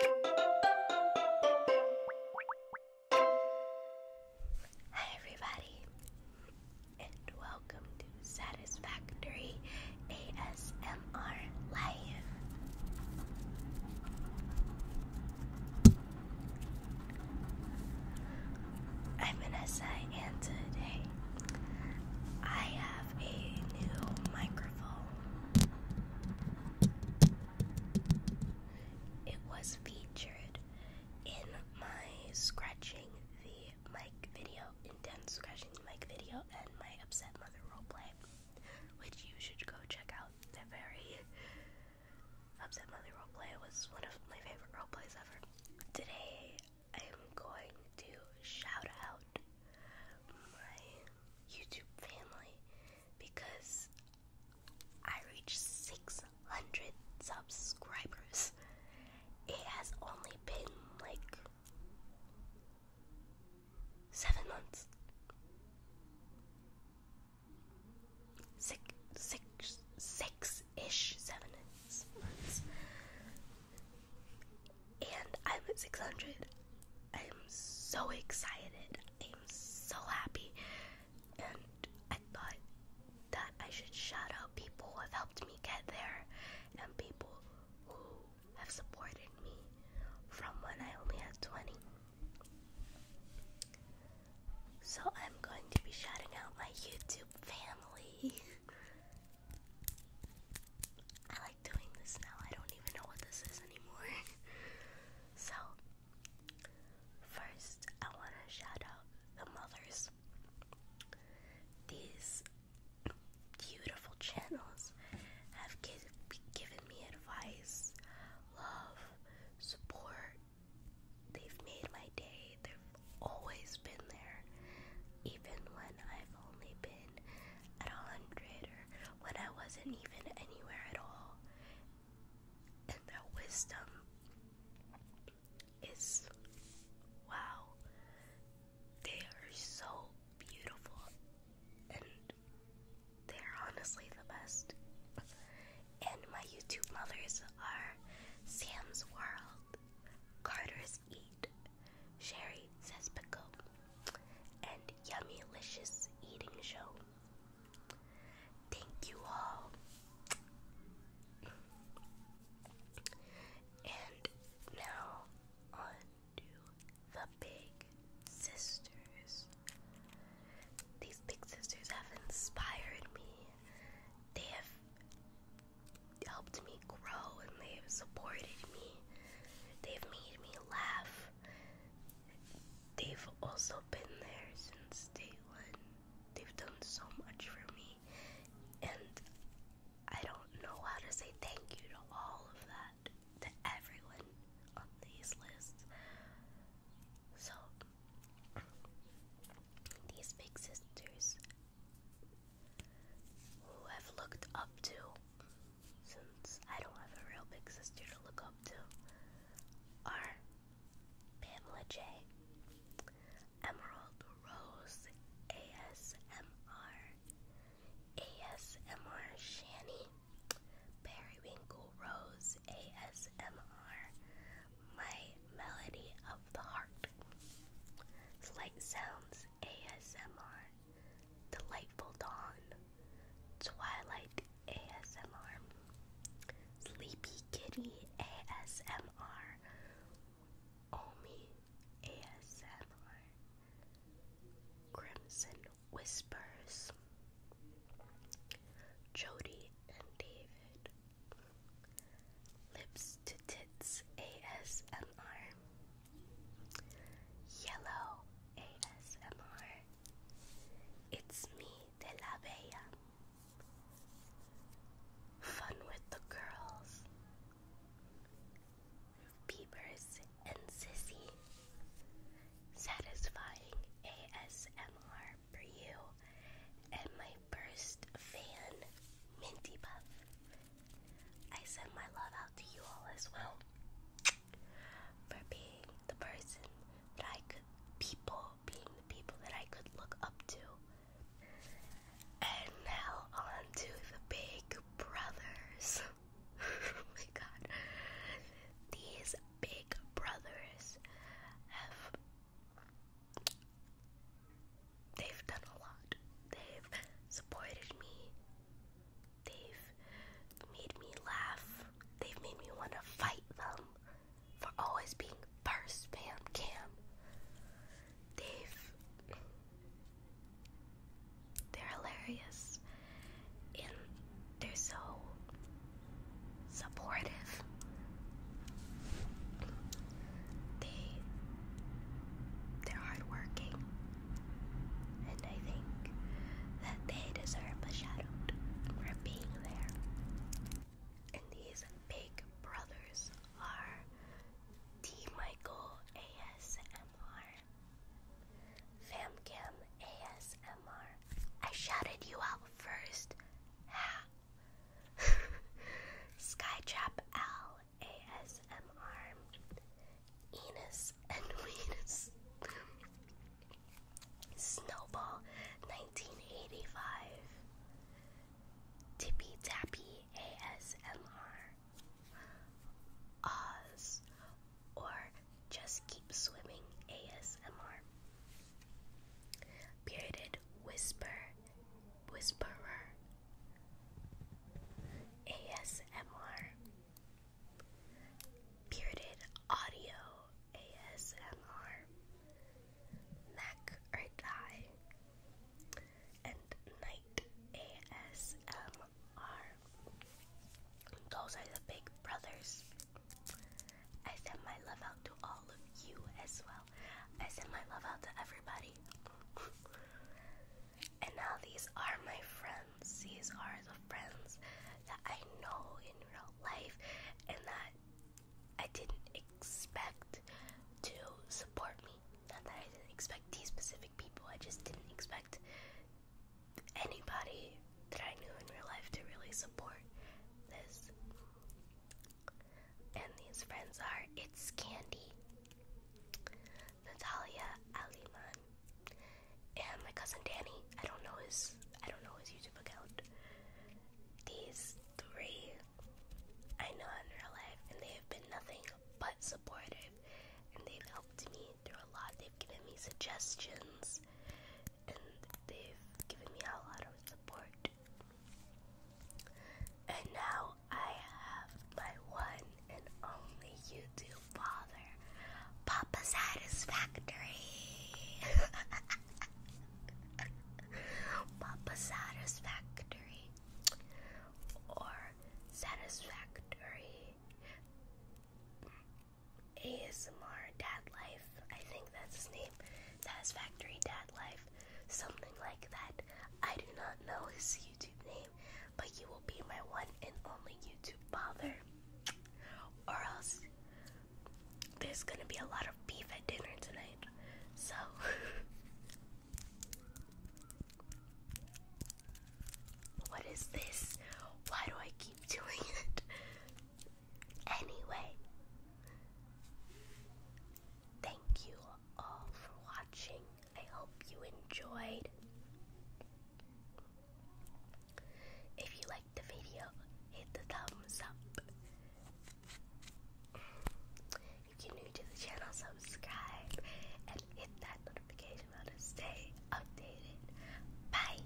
Hi, everybody, and welcome to Satisfactory ASMR Live. I'm Vanessa, and today I have a new microphone. It was featured in my scratching the mic video, intense scratching the mic video, and my upset mother roleplay, which you should go check out. They're very upset mother roleplay was one of my favorite roleplays ever. Today, I am going to shout out my YouTube family because I reached 600 subscribers. It has only been like seven months. Six, six, six ish, seven months and I'm at 600. I'm so excited. I'm so happy. And I thought that I should shout out people who have helped me get there and people who have supported me from when I only had 20. So I'm going to be shouting out my YouTube family. doing this now. I don't even know what this is anymore. so, first, I want to shout out the mothers. These beautiful channels have given me advice, love, support. They've made my day. They've always been there, even when I've only been at a hundred or when I wasn't even anywhere at all. And that wisdom is wow. They are so beautiful and they're honestly the best. And my YouTube mothers are Sam's World, Carter's eat. Sherry says pickle. And yummy licious eating show. Thank you all. And now on the big sisters. These big sisters have inspired me. They have helped me grow and they've supported me. They've made me laugh. They've also been there since day one. They've done so much for me. And I don't know how to say thank you to all of that, to everyone on these lists. So, these big sisters who I've looked up to since I don't have a real big sister to look up to are Pamela J, Emerald Rose ASMR, ASMR Shani, Periwinkle Rose ASMR, My Melody of the Heart, Slight Sounds ASMR, Delightful Dawn, Twilight ASMR, Sleepy Kitty ASMR, Omi ASMR, Crimson Whispers, Jody and David, Lips to Tits ASMR, Yellow ASMR, It's Me de la Bella, Fun with the Girls, Peepers and Sissy, Satisfying ASMR for you, and my first fan, Minty Puff. I send my love out to you all as well for being the person that I could, people, being the people that I could look up to. And now on to the big brothers. oh my god. These big brothers have They've done a lot. They've supported me. They've made me laugh. They've made me want to fight them for always being first, Pam Cam. They've. They're hilarious. And they're so supportive. They they're hardworking, and I think that they deserve a shout for being there. And these big brothers are T. Michael ASMR, FamCam ASMR. I shouted you out first. Ha! Skytrap L ASMR Enos and Venus Snowball 1985 Tippy Tappy ASMR Oz or Just Keep Swimming ASMR Bearded Whisper Whisperer ASMR Bearded Audio ASMR Mac or Die and Night ASMR. Those are the big brothers. I send my love out to all of you as well. I send my love out to everybody. and now these are my friends. These are the friends that I know in real life and that I didn't expect to support me. Not that I didn't expect these specific people, I just didn't expect anybody that I knew in real life to really support this. And these friends are It's Candy, Natalia Aliman, and my cousin Danny. I don't know his I don't know his YouTube account. These three I know in real life and they have been nothing but supportive and they've helped me through a lot. They've given me suggestions and they've given me a lot of support. And now I have my one and only YouTube father, Papa Satisfactory. Papa Satisfactory or Satisfactory ASMR Dad Life I think that's his name. Satisfactory Dad Life. Something like that. I do not know his YouTube name, but you will be my one and only YouTube father. Or else there's gonna be a lot of beef at dinner tonight. So What is this? Why do I keep doing it? Anyway, thank you all for watching. I hope you enjoyed. If you liked the video, hit the thumbs up. If you're new to the channel, subscribe and hit that notification bell to stay updated. Bye!